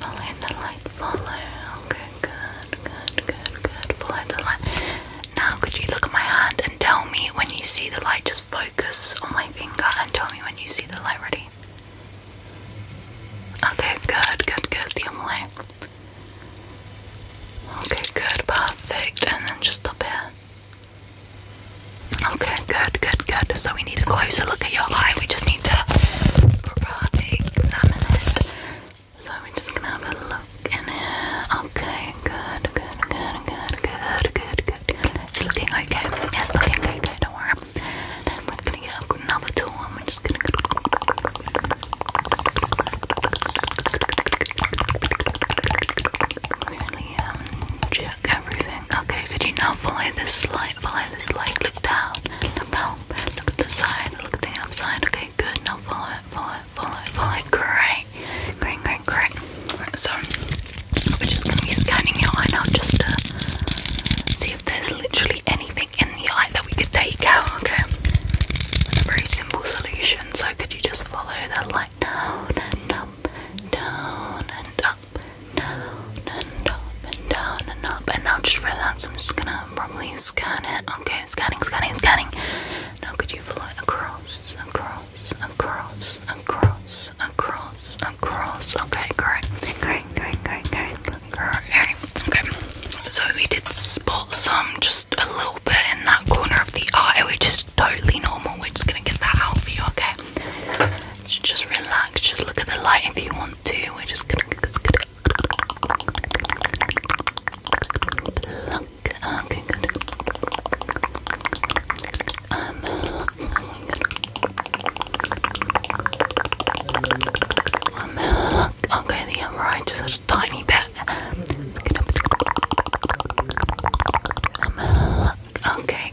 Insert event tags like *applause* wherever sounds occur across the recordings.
light, follow the light, follow. Okay, good, good, good, good. Follow the light. Now, could you look at my hand and tell me when you see the light? Just focus on my finger and tell me when you see the light. Ready? Okay, good, good, good. The other way. Okay, good, perfect. And then just up here. Okay, good, good. Good, so we need a closer look at your eye. We just need to examine it. So we're just gonna have a look in here. Okay, good, good, good, good, good, good, good. It's looking okay. It's looking okay, don't worry. we're gonna get another tool we're just gonna check um, everything. Okay, could you now follow this slide? light, follow this light, look down, look down, look at the side, look at the outside, okay, good, now follow it, follow it, follow it, follow it, great, great, great, great, so, we're just going to be scanning your eye now, just to see if there's literally anything in the eye that we could take out, okay, a very simple solution, so could you just follow that light down, and up, down, and up, and up and down and up. And now just relax. I'm just gonna probably scan it. Okay, scanning, scanning, scanning. Now could you follow it across, across, across, across, across, across? Okay, great, great, great, great, great, great. Okay, so we did spot some, just a little bit in that corner of the eye, which is totally normal. We're just gonna get that out for you, okay? just relax, just look at the light if you want to. We're just gonna okay, uh, good. Um, um, okay, the yeah, right, just a tiny bit. Um, okay,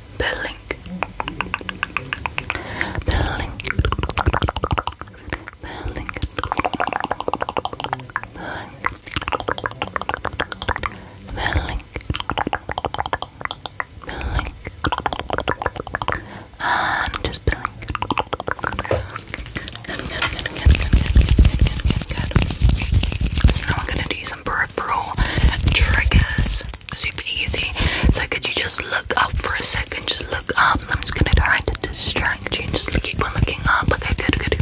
Building. Building. Building. Building. Building. I'm just building. So now I'm gonna do some peripheral triggers super easy. So could you just look up for a second? Just look up. I'm just gonna try to distract you. Just keep on looking up. Okay, good, good. good.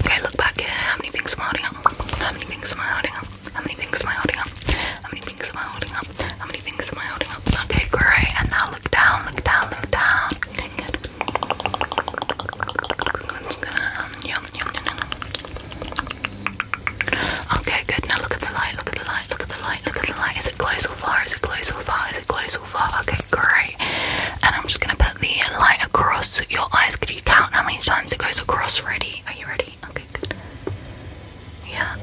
Okay, look back here. How many things am I holding up? How many things am I holding up? How many things am I holding up? How many things am I holding up? How many things am I holding up? Okay, great. And now look down, look down, look down. Okay, good. I'm just gonna um yum yum yum yum. Okay, good. Now look at the light, look at the light, look at the light, look at the light. Is it close or far? Is it close or far? Is it close or far? Okay, great. And I'm just gonna put the light across your eyes. Could you count how many times it goes across? Ready? Are you ready? Okay, good. Yeah.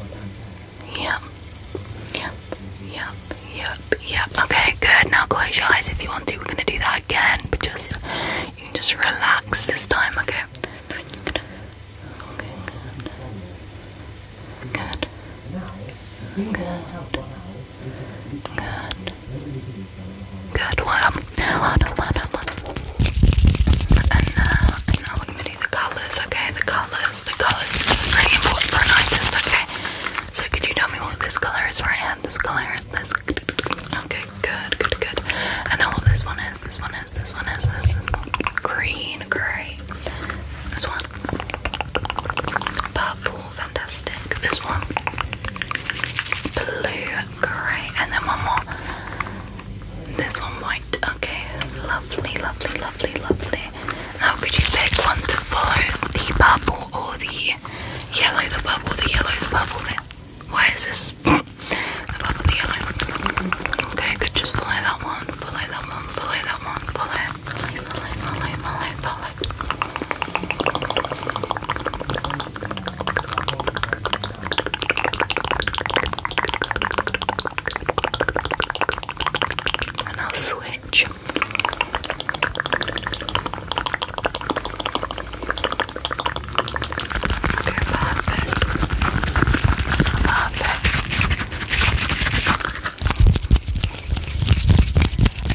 Yeah. Yeah. Yeah. Yeah. Yeah. Okay, good. Now close your eyes if you want to. We're gonna do that again, but just you can just relax this time, okay? Okay, good. Good. Good. Good. Good. What up? What up? What up? What up? And now, and now we're gonna do the colors. Okay, the colors. The colors is pretty important Okay. So could you tell me what this color is? Right hand. This color is this. Okay good, good, good. I know what this one is. This one is. This one is. This green, great. This one, purple, fantastic. This one, blue, great. And then one more. This one, white. Okay, lovely, lovely, lovely, lovely. Now, could you pick one to follow? The purple or the yellow? The purple, the yellow, the purple. There. Why is this? *laughs* the one with the yellow. Okay, good. Just follow that one. Follow that one. Follow that one. Follow. Follow. Follow. Follow. Follow. follow. And I'll switch. Perfect.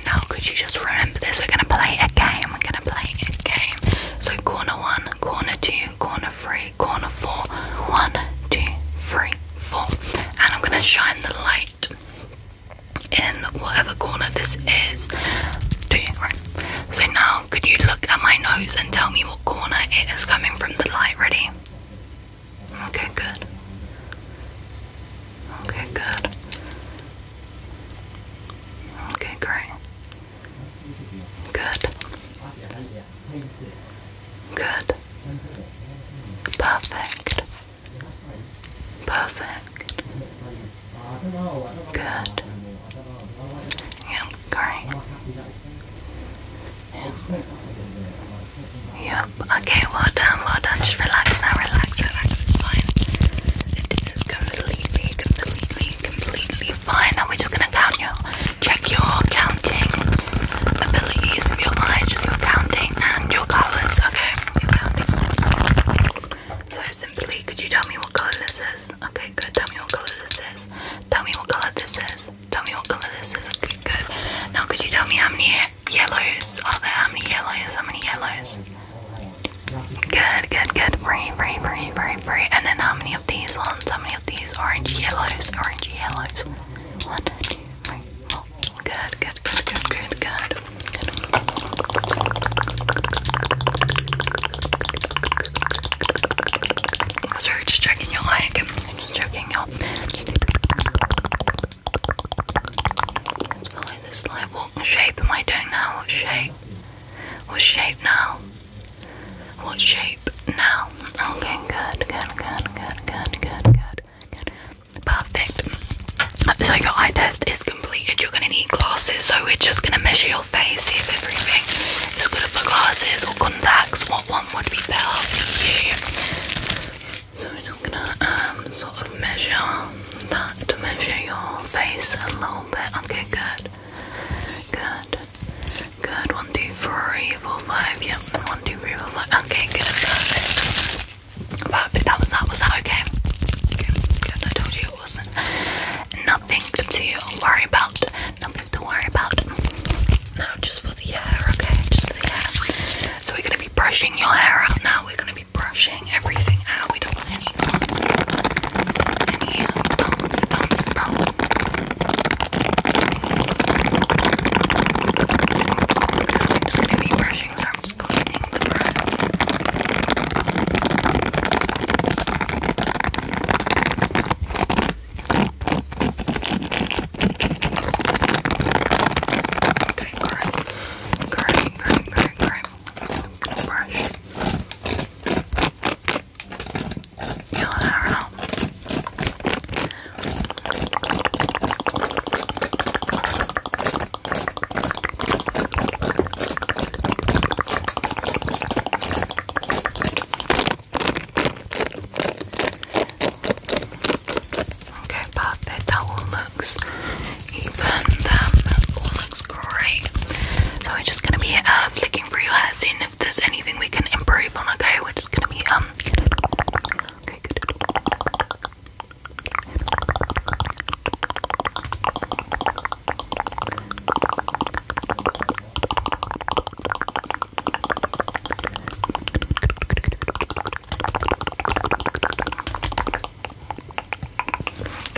Now, could you just remember this? We're gonna play a game. We're gonna play a game. So, corner one, corner two, corner three, corner four. One, two, three, four. And I'm gonna shine the light in whatever corner this is. Do you So now Oh, could you look at my nose and tell me what corner it is coming from the light? Ready? Okay, good. Okay, good. Okay, great. Good. Good. Perfect. Perfect. Good. Yep, great. Yep. Yep. Okay, well done, well done. Just relax now, relax, relax, it's fine. It is completely, completely, completely fine. Now we're just gonna count your check your counting abilities with your eyes, your counting and your colours, okay? Your counting. So simply, could you tell me what color this is? Okay, good. Tell me what color this is. Tell me what color this is. Tell me what color this is. Okay, good. Now, could you tell me how many yellows are there? How many yellows? How many yellows? Good, good, good. Breathe, breathe, breathe, breathe, breathe. And then how many of these ones? How many of these orange yellows? Orange yellows. One, two, three, four. Good, good, good, good, good, good. I'm are just checking your like, just checking your. Let's this light. What shape am I doing now? What shape? What shape now? What shape now? Okay, good, good, good, good, good, good, good. Perfect. So your eye test is completed. You're gonna need glasses, so we're just gonna measure your face, see if everything is good for glasses or contacts. What one would be better for you? So we're just gonna um, sort of measure that to measure your face a little bit. Okay, good, good, good. One, two, three, four, five. Yep. One, two, three, four, five. Okay, good. Perfect. Perfect. That was that. Was that okay? Okay, good. I told you Nothing to worry about. Nothing to worry about. No, just for the hair, okay? Just for the hair. So we're gonna be brushing your hair out now. We're gonna be brushing everything out. We don't want any bumps. Any bumps, We're just gonna be brushing some just cleaning the brush. Okay, great, great, great, great, great. I'm gonna brush. You'll never know. Okay, perfect. That all looks even. Um, that all looks great. So we're just gonna be uh, flicking through your hair, seeing if there's anything we can improve on. Okay, we're just gonna be um.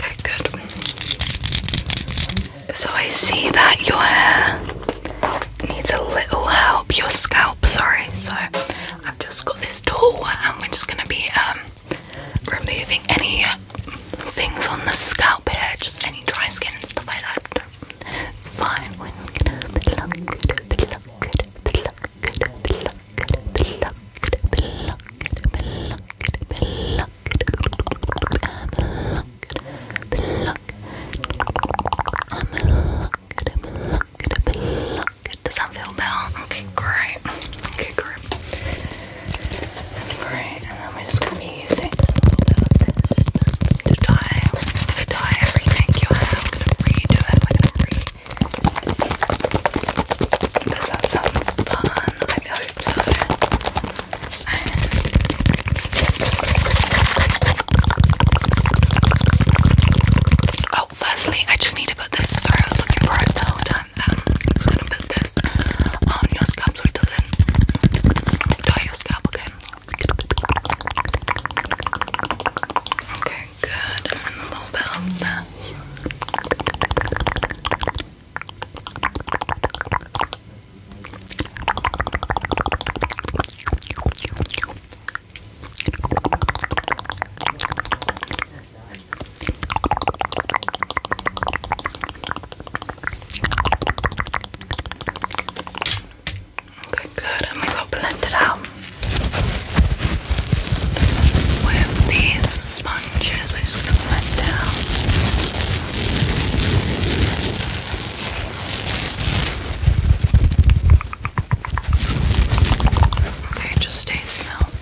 Okay, good. So I see that your hair needs a little help, your scalp, sorry. So I've just got this tool and we're just gonna be um removing any things on the scalp here, just any dry skin and stuff like that. It's fine. We're going Good. Does that feel better? Okay, great. Okay, great. Great. And then we're just gonna be using a little bit of this to to dye everything you have. gonna redo it. We're gonna re. Does that sound fun? I hope so. And firstly, I just need to put this. Sorry, I was looking for it the whole time. Um, I'm just gonna put this on your scalp so it doesn't dye your scalp, okay? Okay, good. And then a little bit on that. Okay, good. I'm gonna go blend it out with these sponges. We're just gonna blend it out. Okay, just stay still.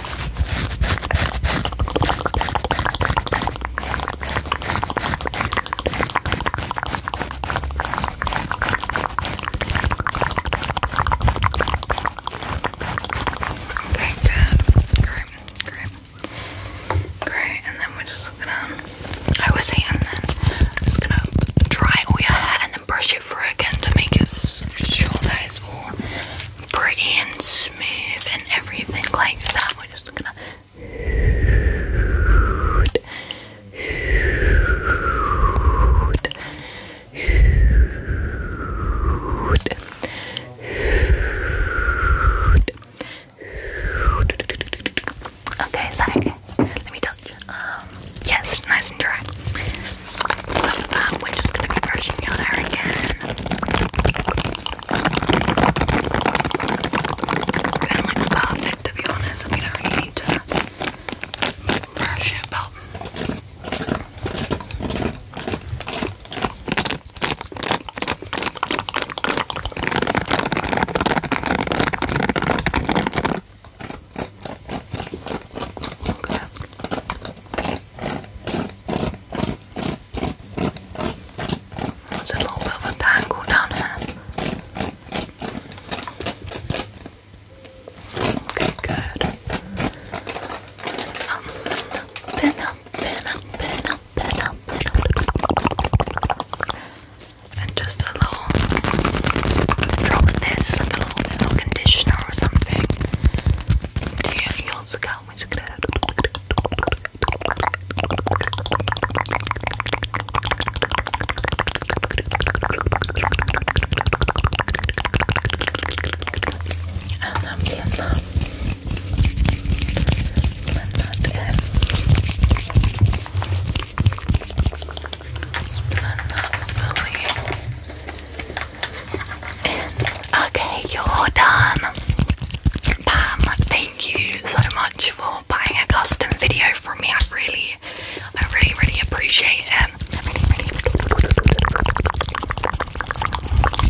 Okay, good. Great, great. Great, and then we're just gonna I was saying and then I'm just gonna dry all your hair brush it through again to make it sure that it's all pretty and smooth and everything like that. We're just gonna Okay, is Let me touch. Um, yes, nice and dry. Um, we're just gonna be brushing your hair again. It looks perfect to be honest. I mean, I need to brush it, but Okay. There's a little bit of a tangle down here. Okay, good. Um, pin up, pin up, pin up, pin up, pin up. just a little drop this, little conditioner or something to your scalp. I'm just going and then blend that. Blend that Okay, you're done. Pam, thank you so much for buying a custom video from me. I really, I really, really appreciate it.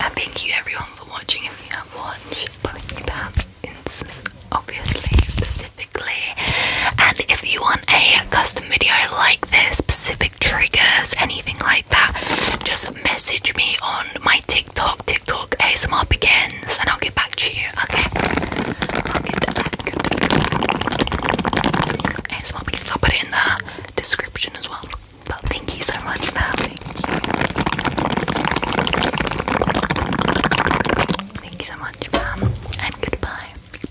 and thank you everyone for watching. If you have watched, but Pam insists obviously specifically. And if you want a custom video like this specifically triggers, anything like that, just message me on my TikTok, TikTok ASMR begins, and I'll get back to you, okay? ASMR begins, I'll put it in the description as well. But thank you so much for having Thank you so much, ma'am. And goodbye.